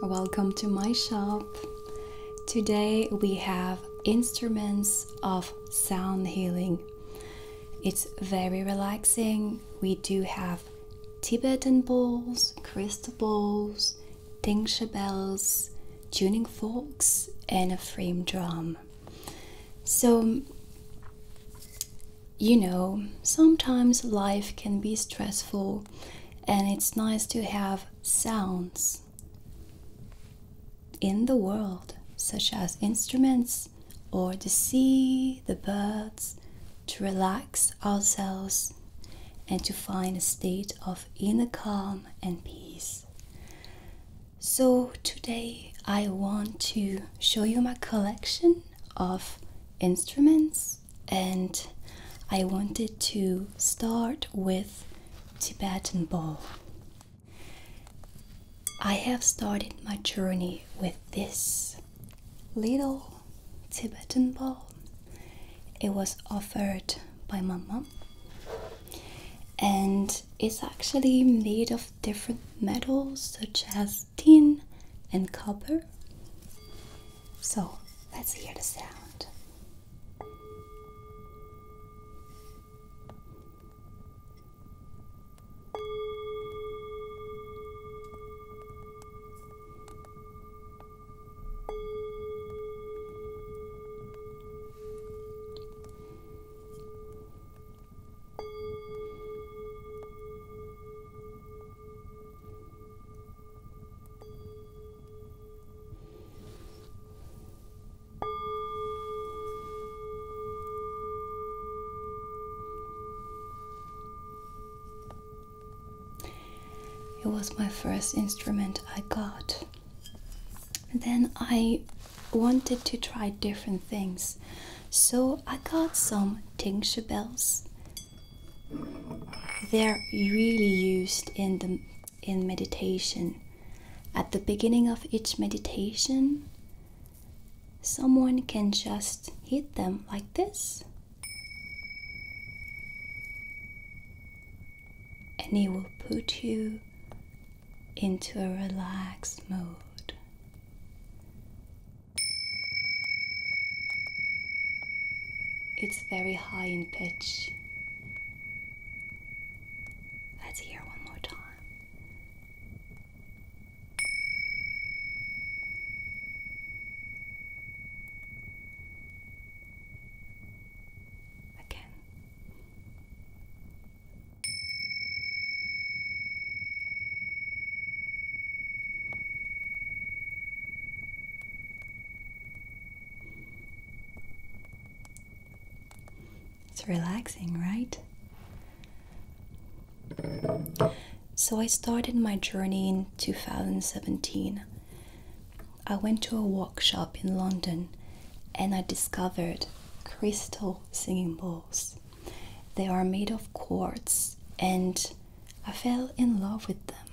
Welcome to my shop. Today we have instruments of sound healing. It's very relaxing. We do have Tibetan bowls, crystal bowls, tincture bells, tuning forks, and a frame drum. So you know, sometimes life can be stressful and it's nice to have sounds in the world, such as instruments or the sea, the birds, to relax ourselves and to find a state of inner calm and peace. So, today I want to show you my collection of instruments and I wanted to start with Tibetan ball. I have started my journey with this little Tibetan ball. It was offered by my mom, and it's actually made of different metals such as tin and copper. So let's hear the sound. It was my first instrument I got. Then I wanted to try different things. So I got some tincture bells. They're really used in the in meditation. At the beginning of each meditation, someone can just hit them like this. And it will put you into a relaxed mode. It's very high in pitch. Let's hear one more time. Again. It's relaxing, right? So I started my journey in 2017. I went to a workshop in London and I discovered crystal singing bowls. They are made of quartz, and I fell in love with them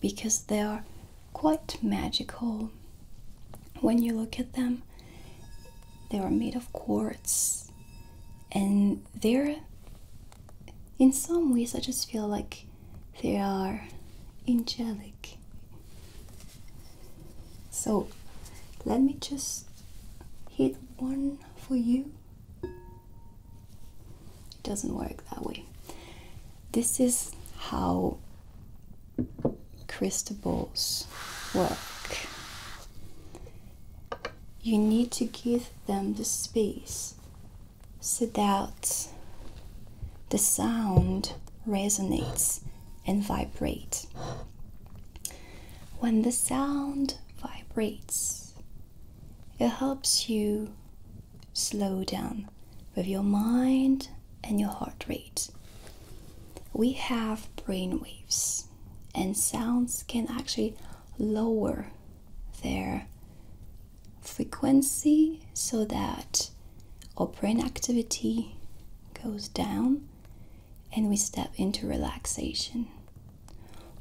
because they are quite magical. When you look at them, they are made of quartz, and they're in some ways, I just feel like they are angelic. So let me just hit one for you it doesn't work that way. This is how crystal balls work. You need to give them the space so that the sound resonates and vibrates. When the sound vibrates. It helps you slow down with your mind and your heart rate. We have brain waves, and sounds can actually lower their frequency so that our brain activity goes down and we step into relaxation.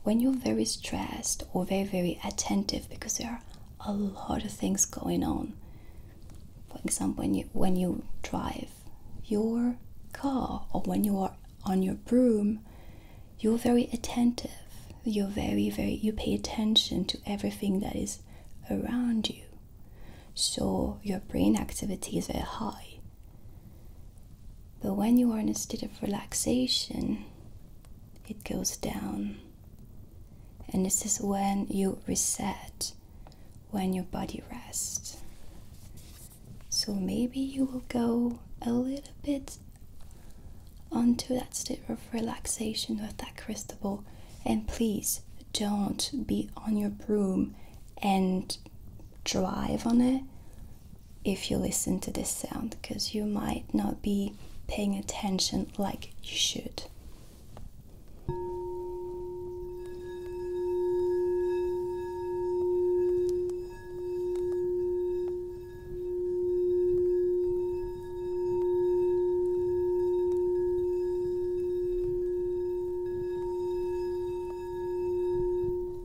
When you're very stressed or very, very attentive because there are a lot of things going on, for example, when you, when you drive your car or when you are on your broom, you're very attentive. You're very, very, you pay attention to everything that is around you. So your brain activity is very high. But when you are in a state of relaxation, it goes down. And this is when you reset, when your body rests. So maybe you will go a little bit onto that state of relaxation with that crystal ball. And please don't be on your broom and drive on it if you listen to this sound because you might not be paying attention like you should.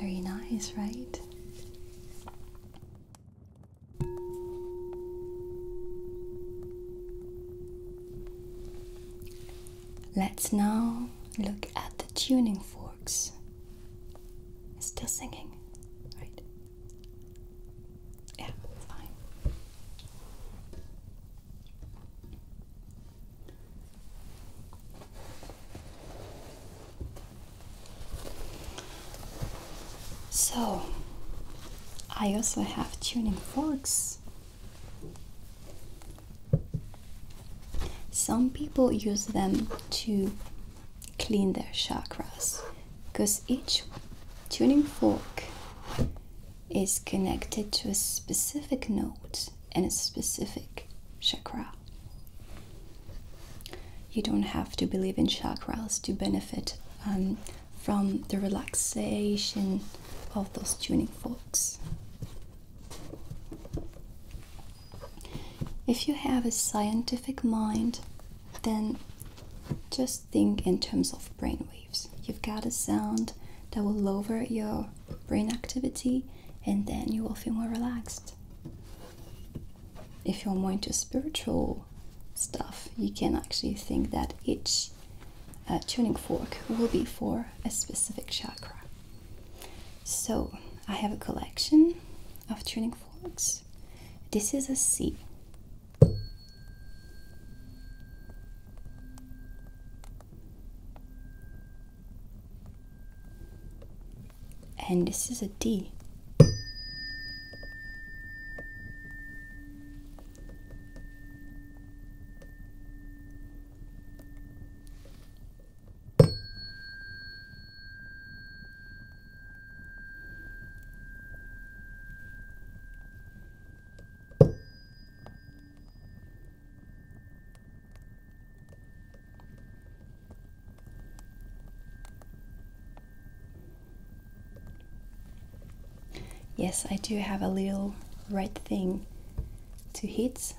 Very nice, right? Let's now look at the tuning forks. Still singing, right? Yeah, fine. So, I also have tuning forks. Some people use them to clean their chakras because each tuning fork is connected to a specific note and a specific chakra. You don't have to believe in chakras to benefit um, from the relaxation of those tuning forks. If you have a scientific mind, then just think in terms of brainwaves. You've got a sound that will lower your brain activity, and then you will feel more relaxed if you're more into spiritual stuff, you can actually think that each uh, tuning fork will be for a specific chakra. So I have a collection of tuning forks. This is a C. And this is a D. Yes, I do have a little red thing to hit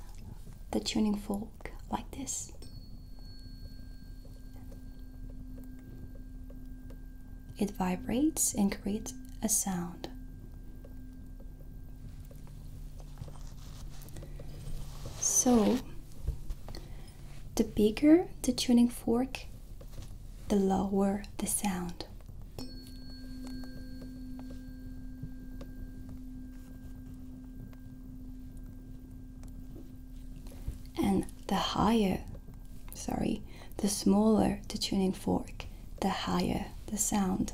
the tuning fork like this. It vibrates and creates a sound. So, the bigger the tuning fork, the lower the sound. And the higher, sorry, the smaller the tuning fork, the higher the sound.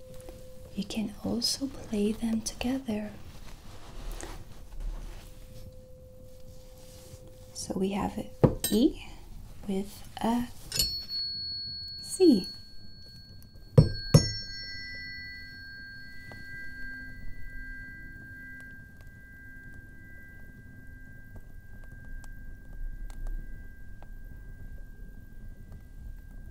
You can also play them together. So we have E with a C.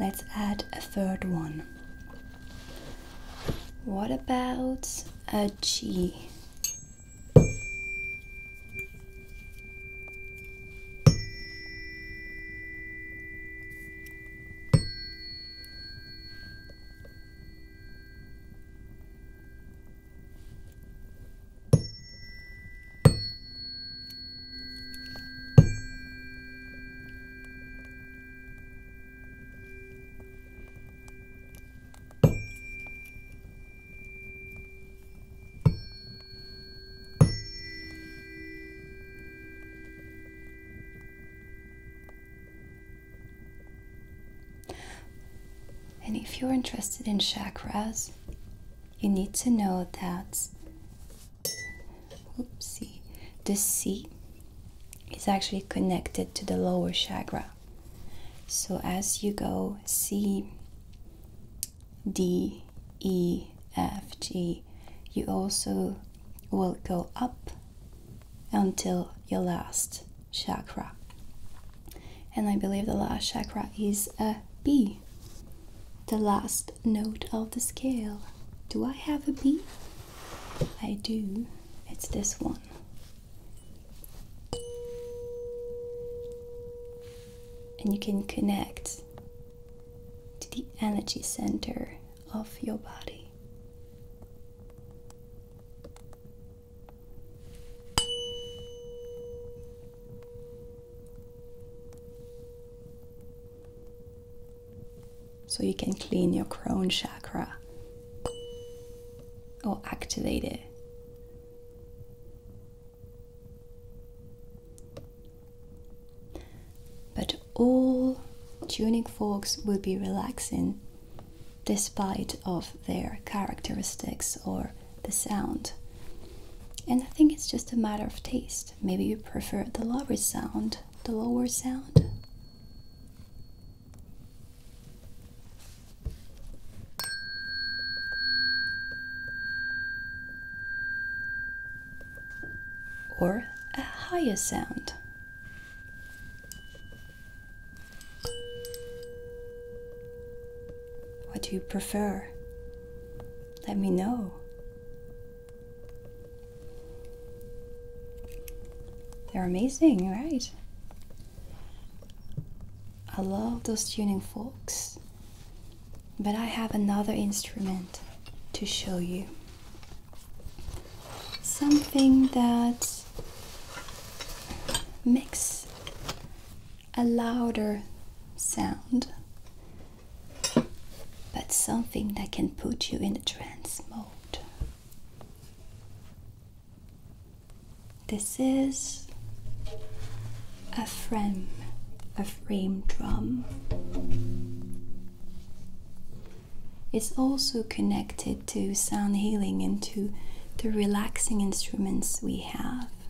Let's add a third one. What about a G? And if you're interested in chakras, you need to know that oopsie, the C is actually connected to the lower chakra. So as you go C, D, E, F, G, you also will go up until your last chakra. And I believe the last chakra is a B the last note of the scale. Do I have a B? I do. It's this one. And you can connect to the energy center of your body. So you can clean your crown chakra or activate it. But all tuning forks will be relaxing despite of their characteristics or the sound. And I think it's just a matter of taste. Maybe you prefer the lower sound, the lower sound. Or a higher sound. What do you prefer? Let me know. They're amazing, right? I love those tuning forks, but I have another instrument to show you. Something that makes a louder sound, but something that can put you in a trance mode. This is a frame, a frame drum. It's also connected to sound healing and to the relaxing instruments we have.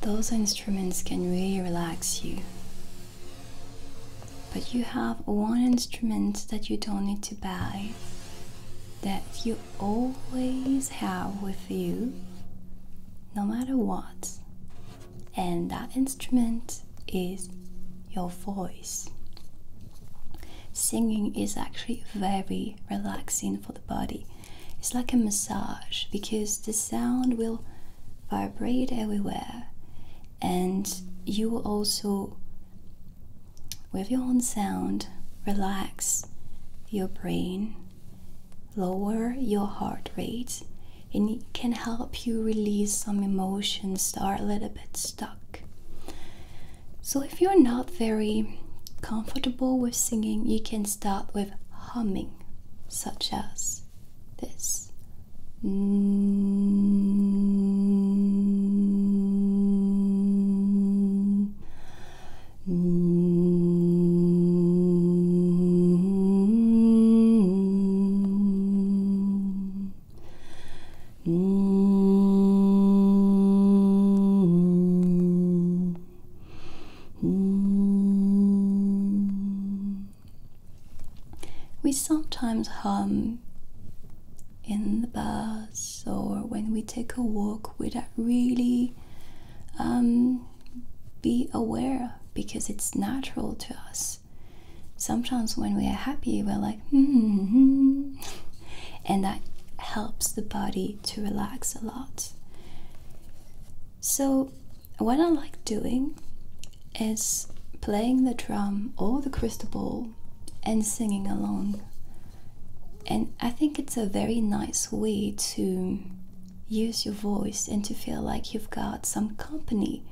Those instruments can really relax you. But you have one instrument that you don't need to buy, that you always have with you, no matter what and that instrument is your voice. Singing is actually very relaxing for the body. It's like a massage because the sound will vibrate everywhere, and you will also, with your own sound, relax your brain, lower your heart rate, and it can help you release some emotions that are a little bit stuck. So, if you're not very comfortable with singing, you can start with humming, such as this. Mm -hmm. -hmm. We sometimes hum in the bus or when we take a walk with that really um, be aware because it's natural to us. Sometimes when we are happy, we're like, mm-hmm. and that helps the body to relax a lot. So, what I like doing is playing the drum or the crystal ball and singing along. And I think it's a very nice way to use your voice and to feel like you've got some company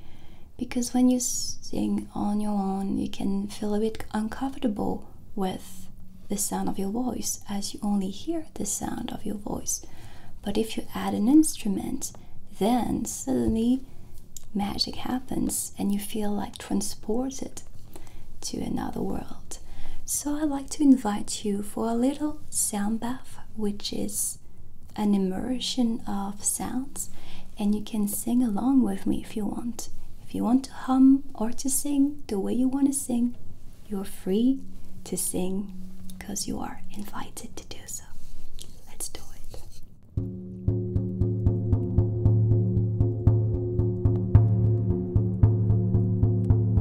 because when you sing on your own you can feel a bit uncomfortable with the sound of your voice as you only hear the sound of your voice but if you add an instrument then suddenly magic happens and you feel like transported to another world so i'd like to invite you for a little sound bath which is an immersion of sounds, and you can sing along with me if you want. If you want to hum or to sing the way you want to sing, you're free to sing because you are invited to do so. Let's do it.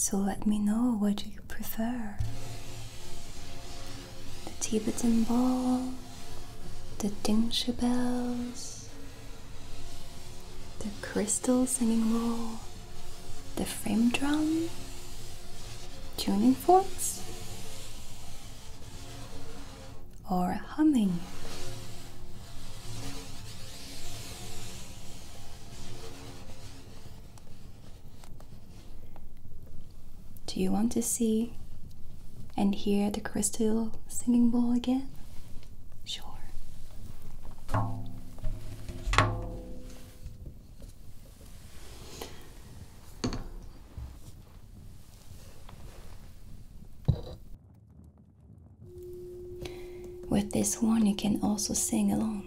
So let me know what you prefer the Tibetan ball the tinsha bells, the crystal singing roll, the frame drum, tuning forks, or humming. Do you want to see and hear the crystal singing bowl again? Sure. With this one, you can also sing along.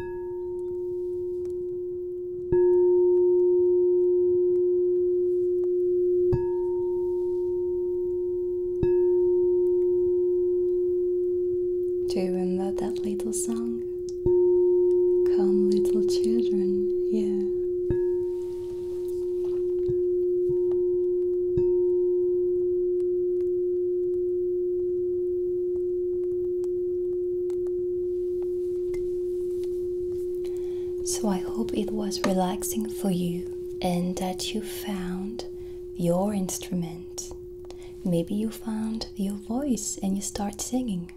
Do you remember that little song? Come, little children, yeah. So I hope it was relaxing for you and that you found your instrument. Maybe you found your voice and you start singing.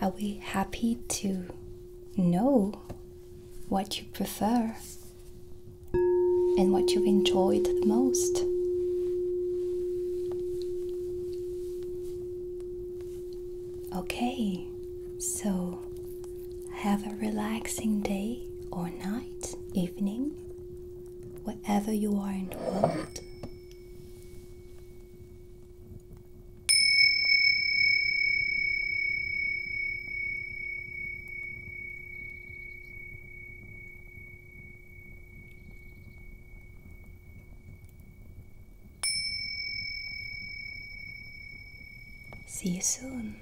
Are we happy to know what you prefer and what you've enjoyed the most? Okay, so have a relaxing day or night, evening, wherever you are in the world. See you soon.